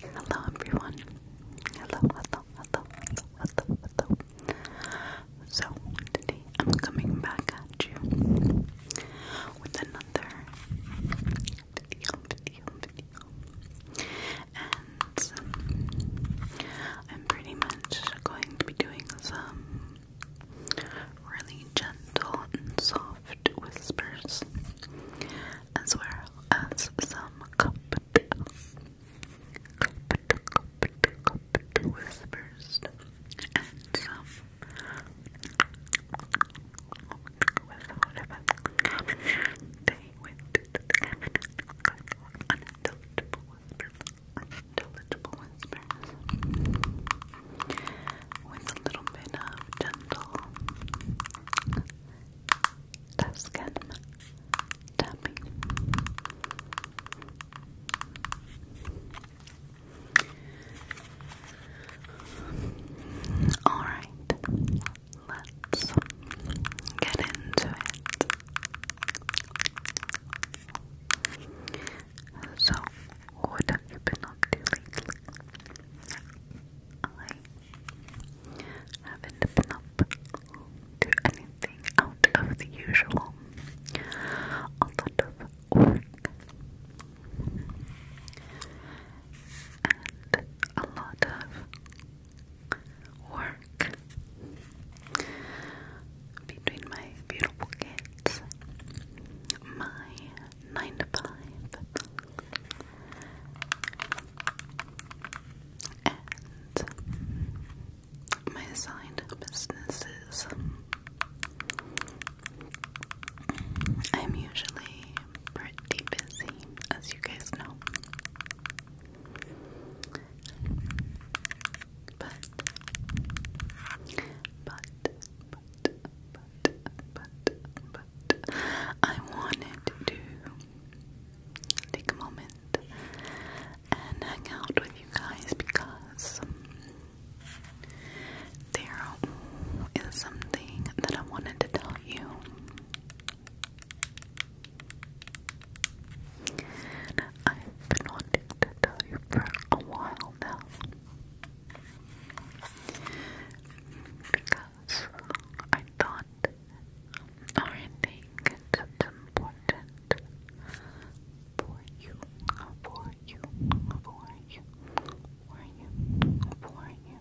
Hello everyone. Hello, hello, hello, hello, hello, hello. So today I'm coming back at you with another video, video, video. And um, I'm pretty much going to be doing some really gentle and soft whispers as well as some comfort, comfort, comfort, comfort whispers and some they went unintelligible whispers, unintelligible whispers with a little bit of gentle Tuscan tapping. All right, let's get into it. So, what have you been up to lately? haven't been up to anything out of the usual. A lot of work and a lot of work between my beautiful kids, my nine to five, and my assigned businesses. I'm usually pretty busy, as you guys know. But, but, but, but, but, but, I wanted to take a moment and hang out with you guys because there is something that I wanted to tell you. I've been wanting to tell you for a while now. Because I thought or I think it's important for you, for you, for you, for you, for you,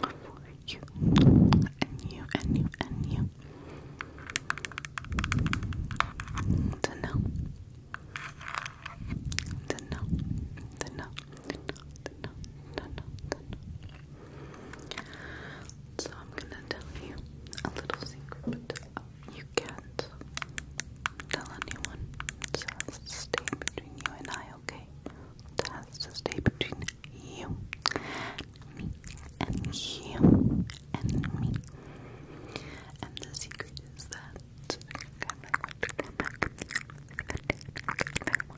for you, and you, and you, and you to know, to know, to know, to know, to know, to know, to know. So I'm gonna tell you a little secret, but uh, you can't tell anyone. It has to stay between you and I, okay? It has to stay between you, me, and you, and me. And the secret is that.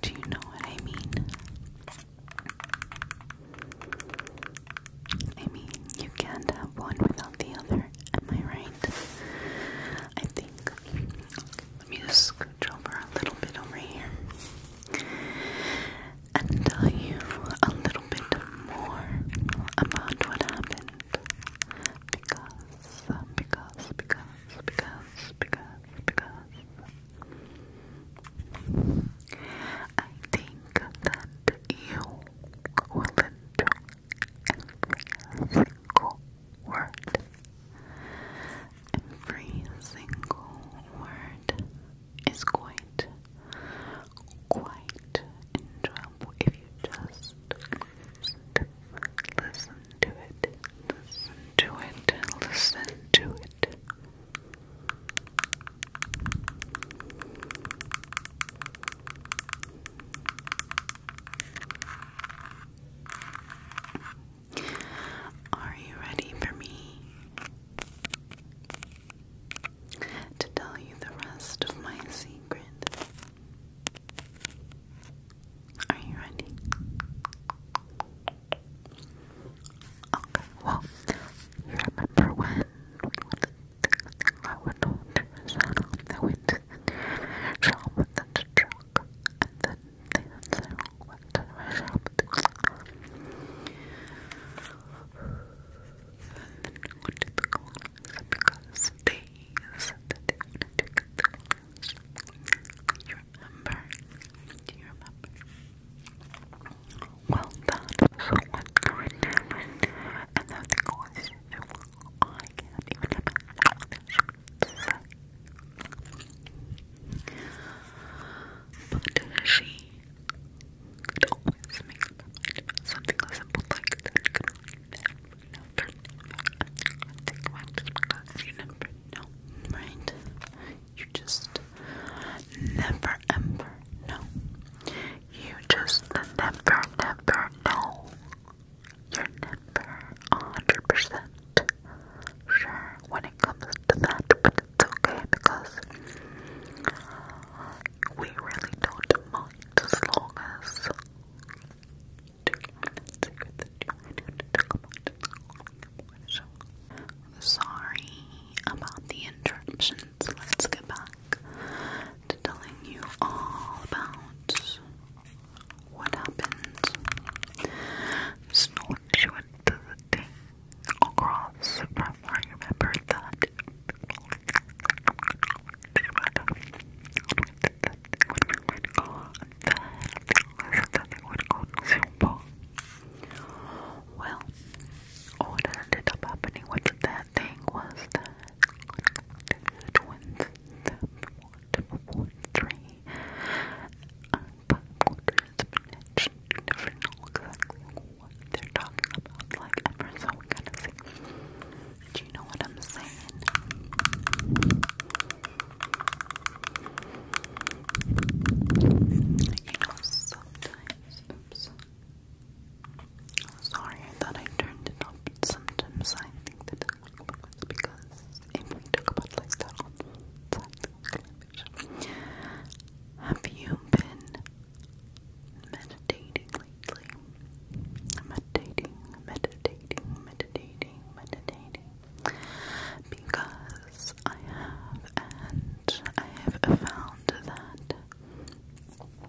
Do you know what I mean? I mean, you can't have one without the other, am I right? I think. Okay, let me just scooch over a little bit over here and tell you a little bit more about what happened. Because, because, because, because, because, because, I think that you will enjoy every single word. Every single word is quite, quite enjoyable if you just listen to it. Listen to it. Listen to it. Are you ready for me to tell you the rest of my secret? Are you ready? Okay, well, you remember when I went on to Rosanna, I went to the shop with the truck, and then to my shop And then went to the corners because they said they wanted to get the You you remember? Do you remember? Well, that was what and now the question I can't even imagine But she always make something simple like that never I think because you never right? You just never ever know. You just never, never know. You're never 100% sure when it comes to that, but it's okay because we really don't mind as long as. Two minutes, secret that you wanted to come on Sorry about the interruptions. Let's get back to telling you all about what happened. Snort went to the across from I remember that well, all that ended up happening with that thing was that the twins, the four, four, three, popcorn spinach, never know exactly what they're talking about, like ever so kind of thing. Do you know what I'm saying? You know, sometimes, oops. Sorry, I thought I turned it up. Sometimes I think that it's because we talk about like that on television, have you been meditating lately? Meditating, meditating, meditating, meditating because I have and I have found that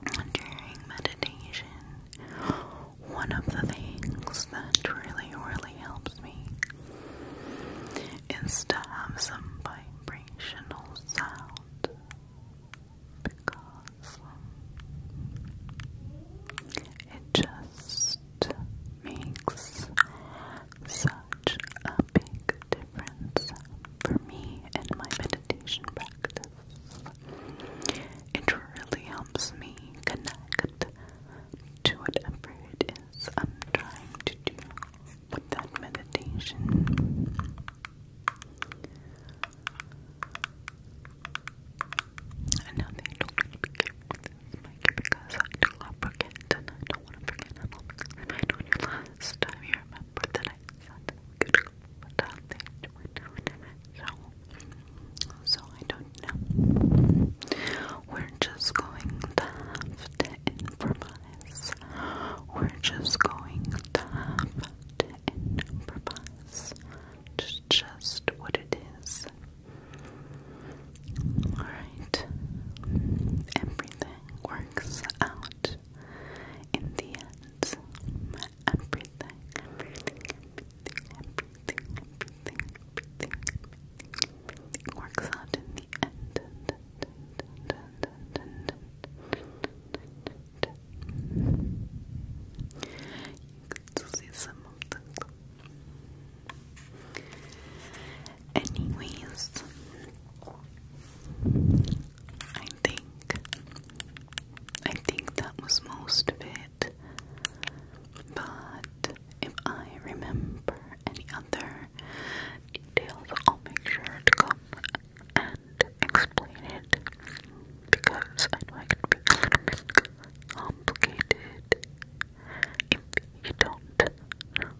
during meditation one of the things that really really helps me is to have some vibrational sound because it just makes such a big difference for me in my meditation practice. It really helps me connect to whatever it is I'm trying to do with that meditation. Another this because I do not forget and I don't want to forget and I'll be remind when you last time you remember that I said good but I think went down so so I don't know. We're just going to have to improvise. We're just going to have to improvise. It's just what it is. Alright. Everything works out in the end. Everything, everything, everything, everything, everything, everything, everything works out in the end. You can see some Anyways, I think I think that was most of it. But if I remember any other details, I'll make sure to come and explain it because I know it can be a little bit complicated if you don't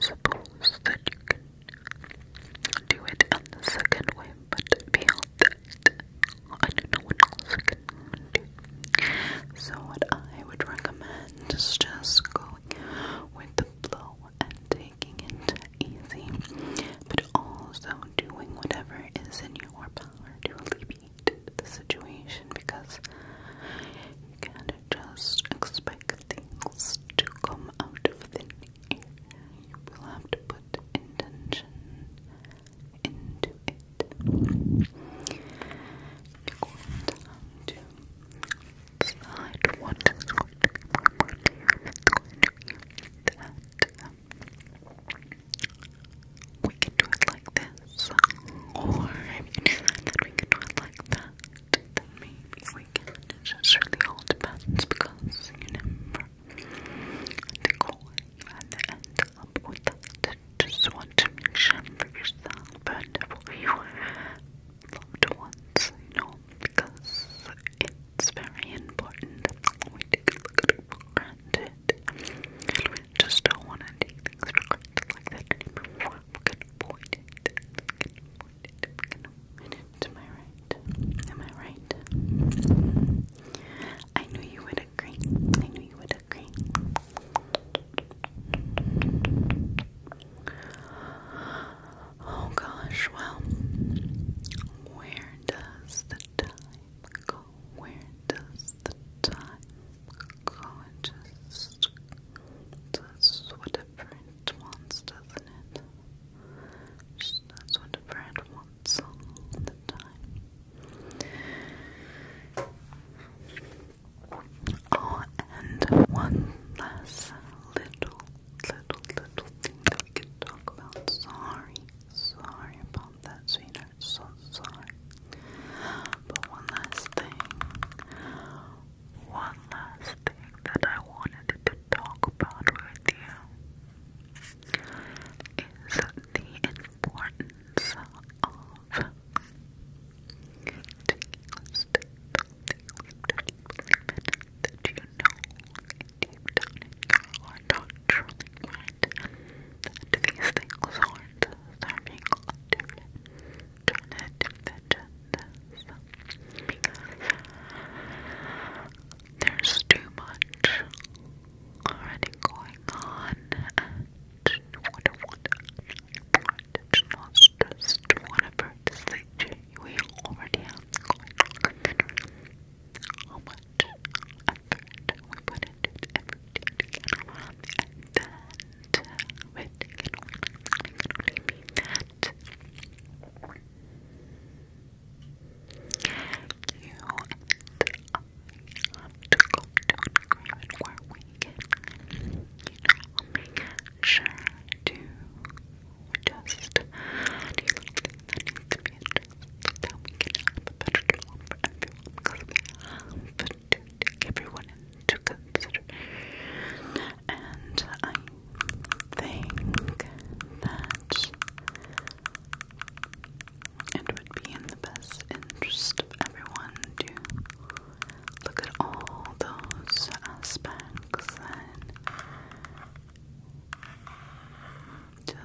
suppose that you can do it on the second way, but beyond that, I don't know what else you can do. So what I would recommend is just going with the flow and taking it easy, but also doing whatever is in your power to alleviate the situation because you can't just expect things to come out of thin air. You will have to put intention into it. You're going to have to decide what is going to be, to be we can do it like this, or if you decide that we can do it like that, then maybe we can. just really all depends because you never the goal you end up with Just want to make sure for yourself and loved ones, you know, because it's very important just don't want to like that anymore. We avoid it. We can avoid it. We can Am I right? Am I right? I knew you would agree. I knew you would agree. Oh gosh, well, where does the time go? where does the time go? It just what whatever brand wants, doesn't it? Just does whatever it wants all the time. Oh, and one last little, little, little thing that we could talk about. Sorry, sorry about that's so sorry. But one last thing, one last thing that I wanted to talk about with you is the importance of taking a step that you know deep down these things aren't serving all different alternative agendas because there's too much already going on what I want it's not whatever decision we already have effort. We put into effort. And that with can only mean that you and I have to come to an agreement you know, make sure to adjust any little thing that needs to be adjusted that we can a better job for everyone because we to take everyone into consideration. And I think that it would be in the best interest of everyone to look at all those aspects and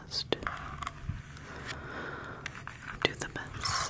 just do the best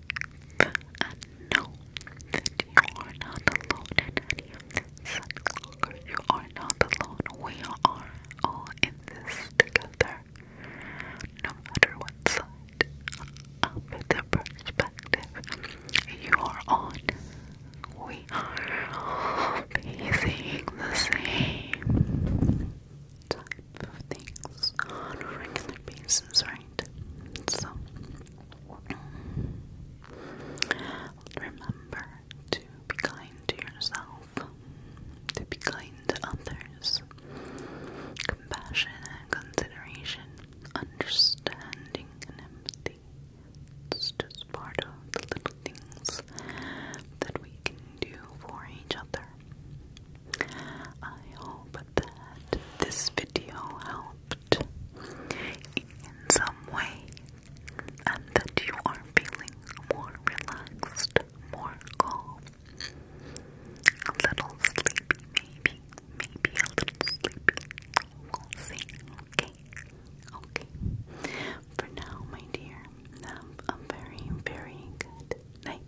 And know that you are not alone in any of this. You are not alone. We are all in this together. No matter what side of the perspective you are on, we are facing the same type of things on a regular basis, right? So remember to be kind to yourself, to be kind to others. Compassion and consideration, understanding and empathy. just part of the little things that we can do for each other. I hope that this video helped in some way and that you are feeling more relaxed, more calm, a little sleepy maybe, maybe a little sleepy, we'll see, okay, okay. For now, my dear, have a very, very good night.